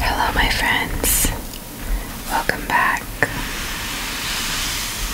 Hello, my friends. Welcome back.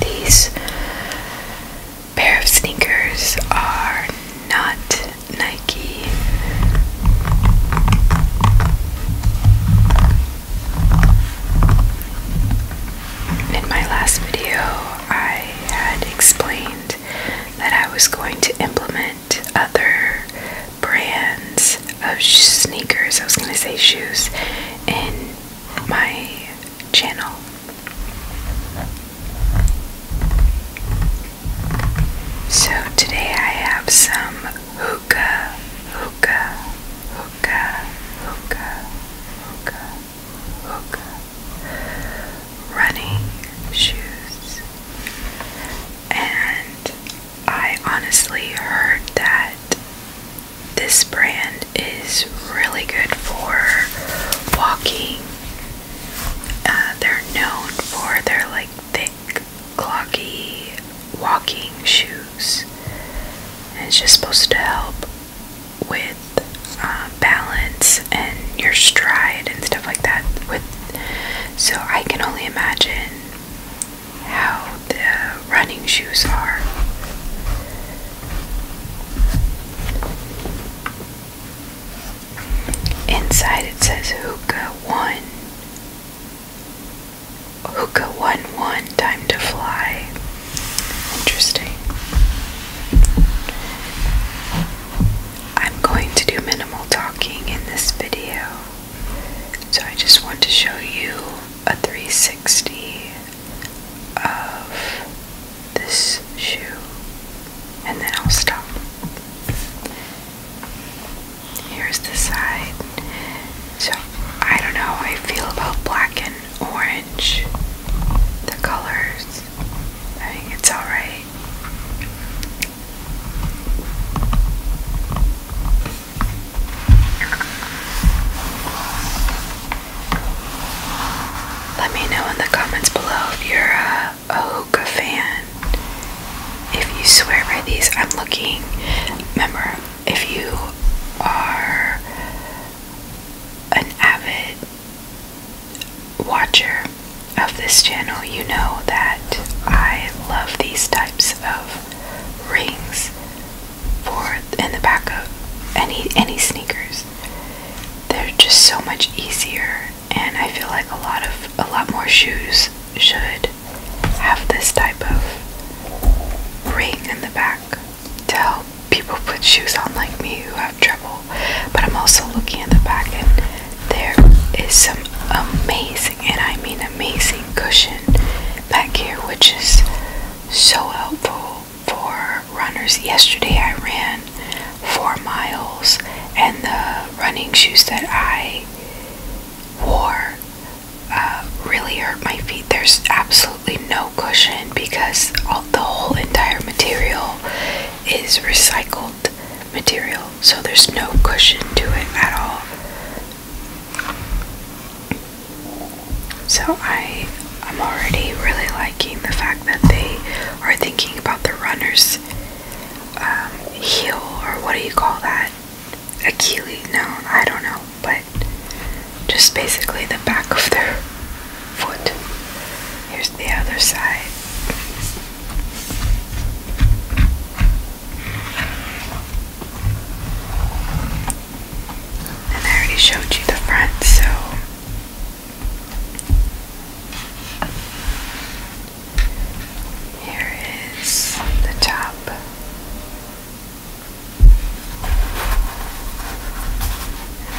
These pair of sneakers are not Nike. In my last video, I had explained that I was going to implement other brands of sneakers, I was going to say shoes, in my channel. So today I have some hookah, hookah, hookah, hookah, hookah, hookah, running shoes. And I honestly heard that this brand is really good for walking. Uh, they're known for their like thick clocky walking shoes. it's just supposed to help with um, balance and your stride and stuff like that. With so I can only imagine how the running shoes are. Inside it says hookah one. Hookah 1 1 Time to Fly. Interesting. I'm going to do minimal talking in this video. So I just want to show you a 360 of this shoe and then I'll stop. Here's the side. So I don't know how I feel about black and orange. The colors. I think it's alright. Let me know in the comments below if you're a, a hookah fan. If you swear by these, I'm looking. Remember, if you are an avid watcher of this channel, you know that I love these types of rings for in the back of any any sneakers. They're just so much easier and I feel like a lot of a lot more shoes should have this type of ring in the back to help people put shoes on like me who have trouble. But I'm also looking at the back and there is some amazing, and I mean amazing cushion back here, which is so helpful for runners. Yesterday I ran four miles and the running shoes that I wore really hurt my feet. There's absolutely no cushion because all, the whole entire material is recycled material, so there's no cushion to it at all. So I am already really liking the fact that they are thinking about the runner's um, heel, or what do you call that? a no, I don't know, but just basically the back of their foot. Here's the other side. And I already showed you the front, so here is the top.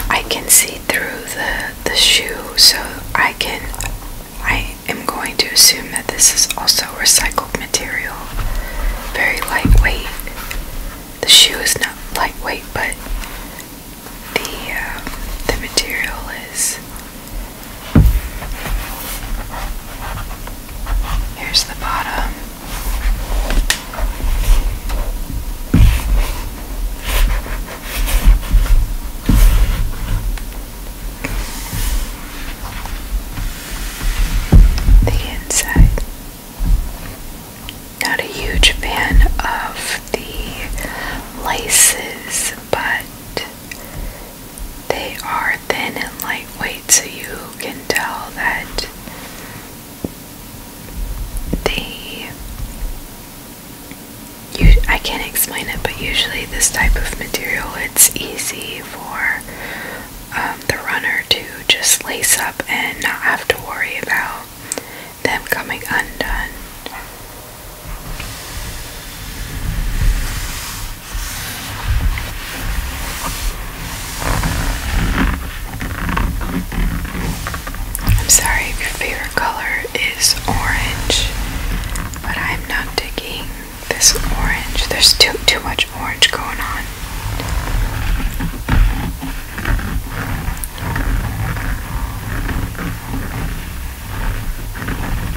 I can see through the the shoe, so I can I am going to assume that this is also recycled material. Very lightweight. The shoe is not lightweight, but the uh, the material is Here's the bottom. The inside. Not a huge fan of the laces, but they are thin and lightweight, so you can tell that they. I can't explain it, but usually this type of material, it's easy for um, the runner to just lace up and not have to worry about them coming undone. I'm sorry if your favorite color is orange, but I'm not digging this orange. There's too too much orange going on.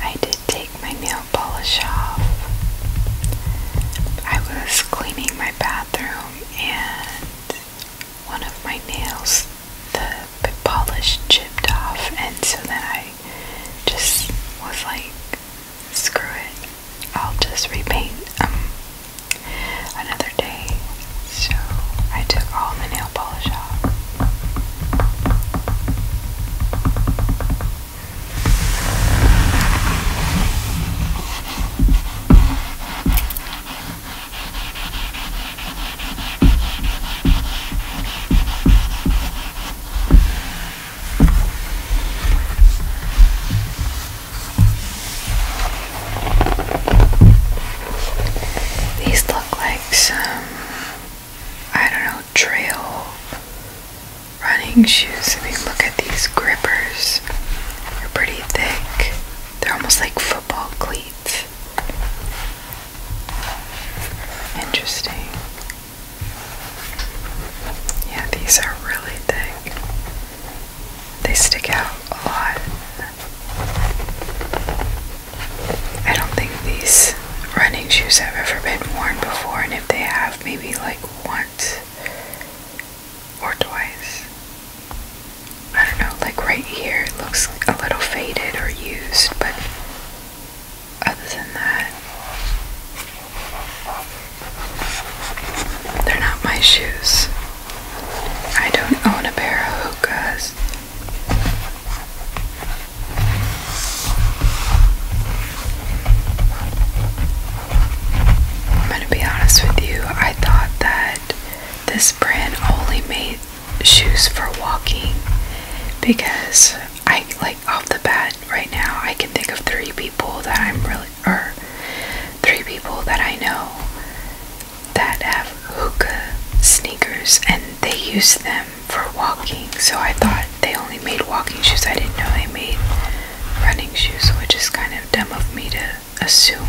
I did take my nail polish off. I was cleaning my bathroom and one of my nails, the polish chipped off, and so then I just was like, screw it, I'll just repaint um, another day. So I took all the nail polish off. These look like some, I don't know, trail running shoes. I mean, look at these grippers. They're pretty thick, they're almost like football cleats. Interesting. Yeah, these are really thick. They stick out a lot. I don't think these running shoes have ever been worn before, and if they have, maybe like once or twice. I don't know, like right here it looks a little faded or used, but other than that, they're not my shoes. I don't own a pair of hookahs. I'm going to be honest with you, I thought that this brand only made shoes for walking because I like off the bat right now I can think of three people that I'm really, or three people that I know that have hookah sneakers and they use them for walking. So I thought they only made walking shoes. I didn't know they made running shoes, which is kind of dumb of me to assume.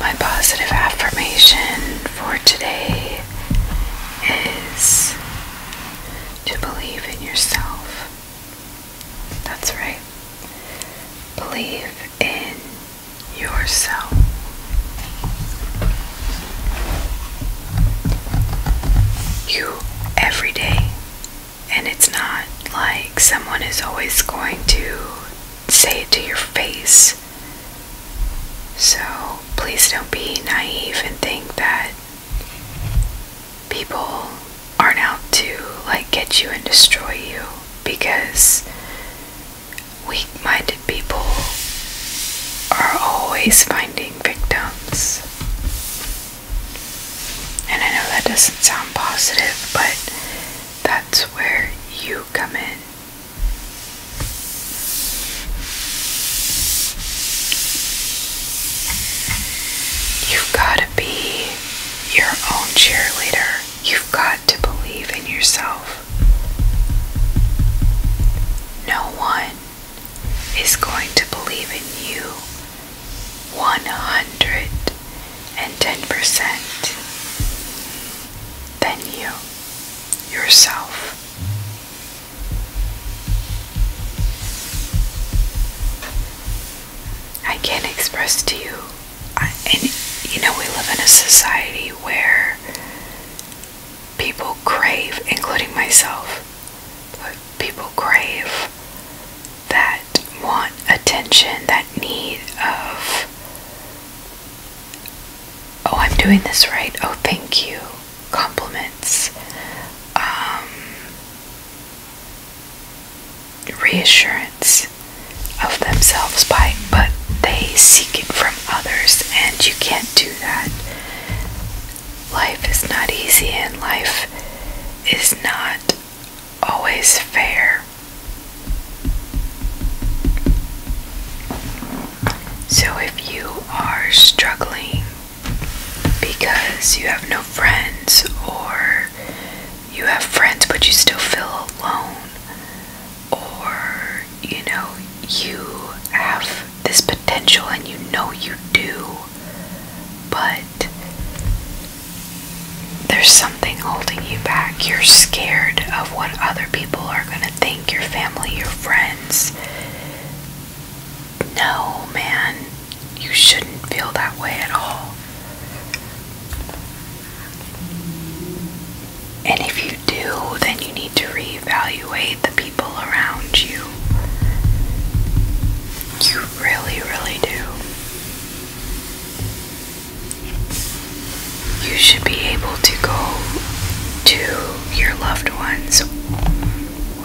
My positive affirmation for today is to believe in yourself. That's right. Believe in yourself. You every day. And it's not like someone is always going to say it to your face so please don't be naive and think that people aren't out to like get you and destroy you because weak minded people are always finding victims. And I know that doesn't sound positive, but that's where you come in. You've got to be your own cheerleader. You've got to believe in yourself. No one is going to believe in you 110% than you, yourself. I can't express to you, and you know, we live in a society where people crave, including myself, people crave that want attention, that need of oh, I'm doing this right, oh, thank you, compliments, um, reassurance of themselves by, but they seek it from others, and you can't do that. Life is not easy, and life is not always fair. So if you are struggling because you have no friends or you have friends but you still feel alone or you know you have this potential and you know you do but there's something holding you back. You're scared of what other people are going to think, your family, your friends. No, man, you shouldn't feel that way at all. And if you do, then you need to reevaluate the people around you. You really, really do you should be able to go to your loved ones,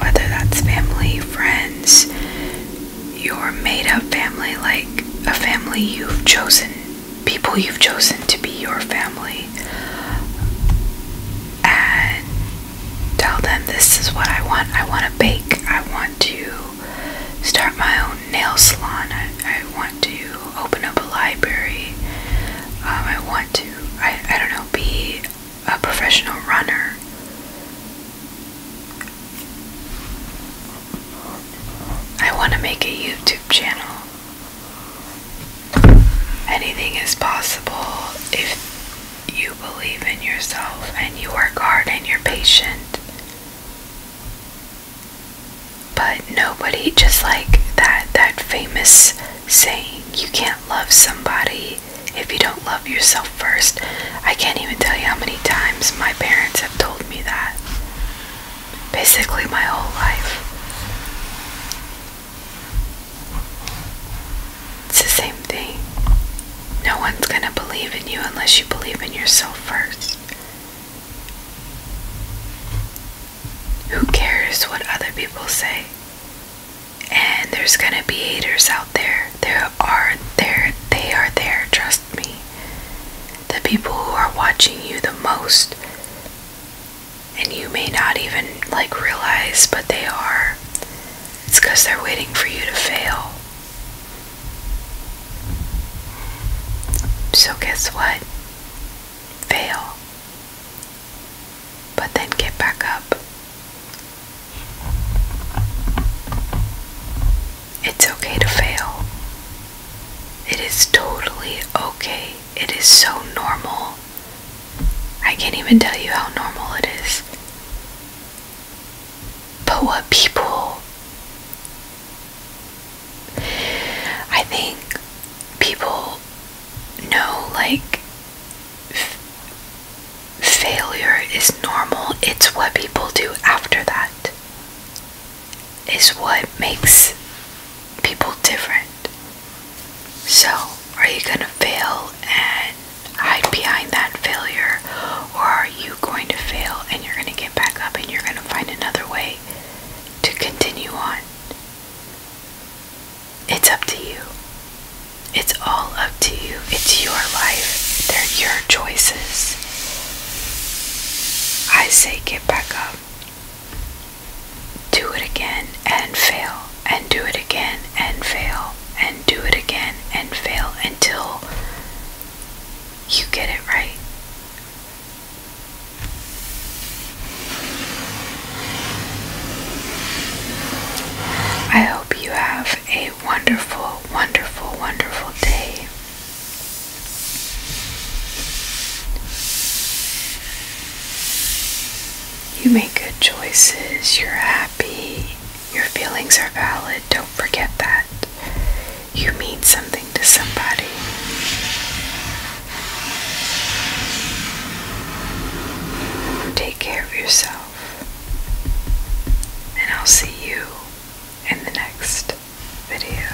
whether that's family, friends, your made up family, like a family you've chosen, people you've chosen to be your family, and tell them this is what I want. I want to bake, I want to start my own nail salon, I, I want to open up a library. Um, I want to, I, I don't know, be a professional runner. I want to make a YouTube channel. Anything is possible if you believe in yourself and you work hard and you're patient. But nobody, just like that, that famous saying, you can't love somebody if you don't love yourself first. I can't even tell you how many times my parents have told me that. Basically, my whole life. It's the same thing. No one's gonna believe in you unless you believe in yourself first. Who cares what other people say? And there's gonna be haters out there. There are there they are there, trust me. The people who are watching you the most and you may not even like realize but they are. It's because they're waiting for you to fail. So guess what? Fail. But then get back up. It's okay to fail. It is totally okay. It is so normal. I can't even tell you how normal it is. But what people I think people know like failure is normal, it's what people do after that, is what makes people different. So, are you gonna fail and hide behind that failure, or are you going to fail and you're gonna get back up and you're gonna find another way to continue on? It's up to you. It's all up to you. It's your life. They're your choices. I say get back up. Do it again and fail, and do it again and fail, and do it again and fail until you get it right. I hope you have a wonderful, wonderful, wonderful day. You make good choices, you're happy, your feelings are valid, don't forget that. You mean something to somebody. Take care of yourself, and I'll see you in the next video.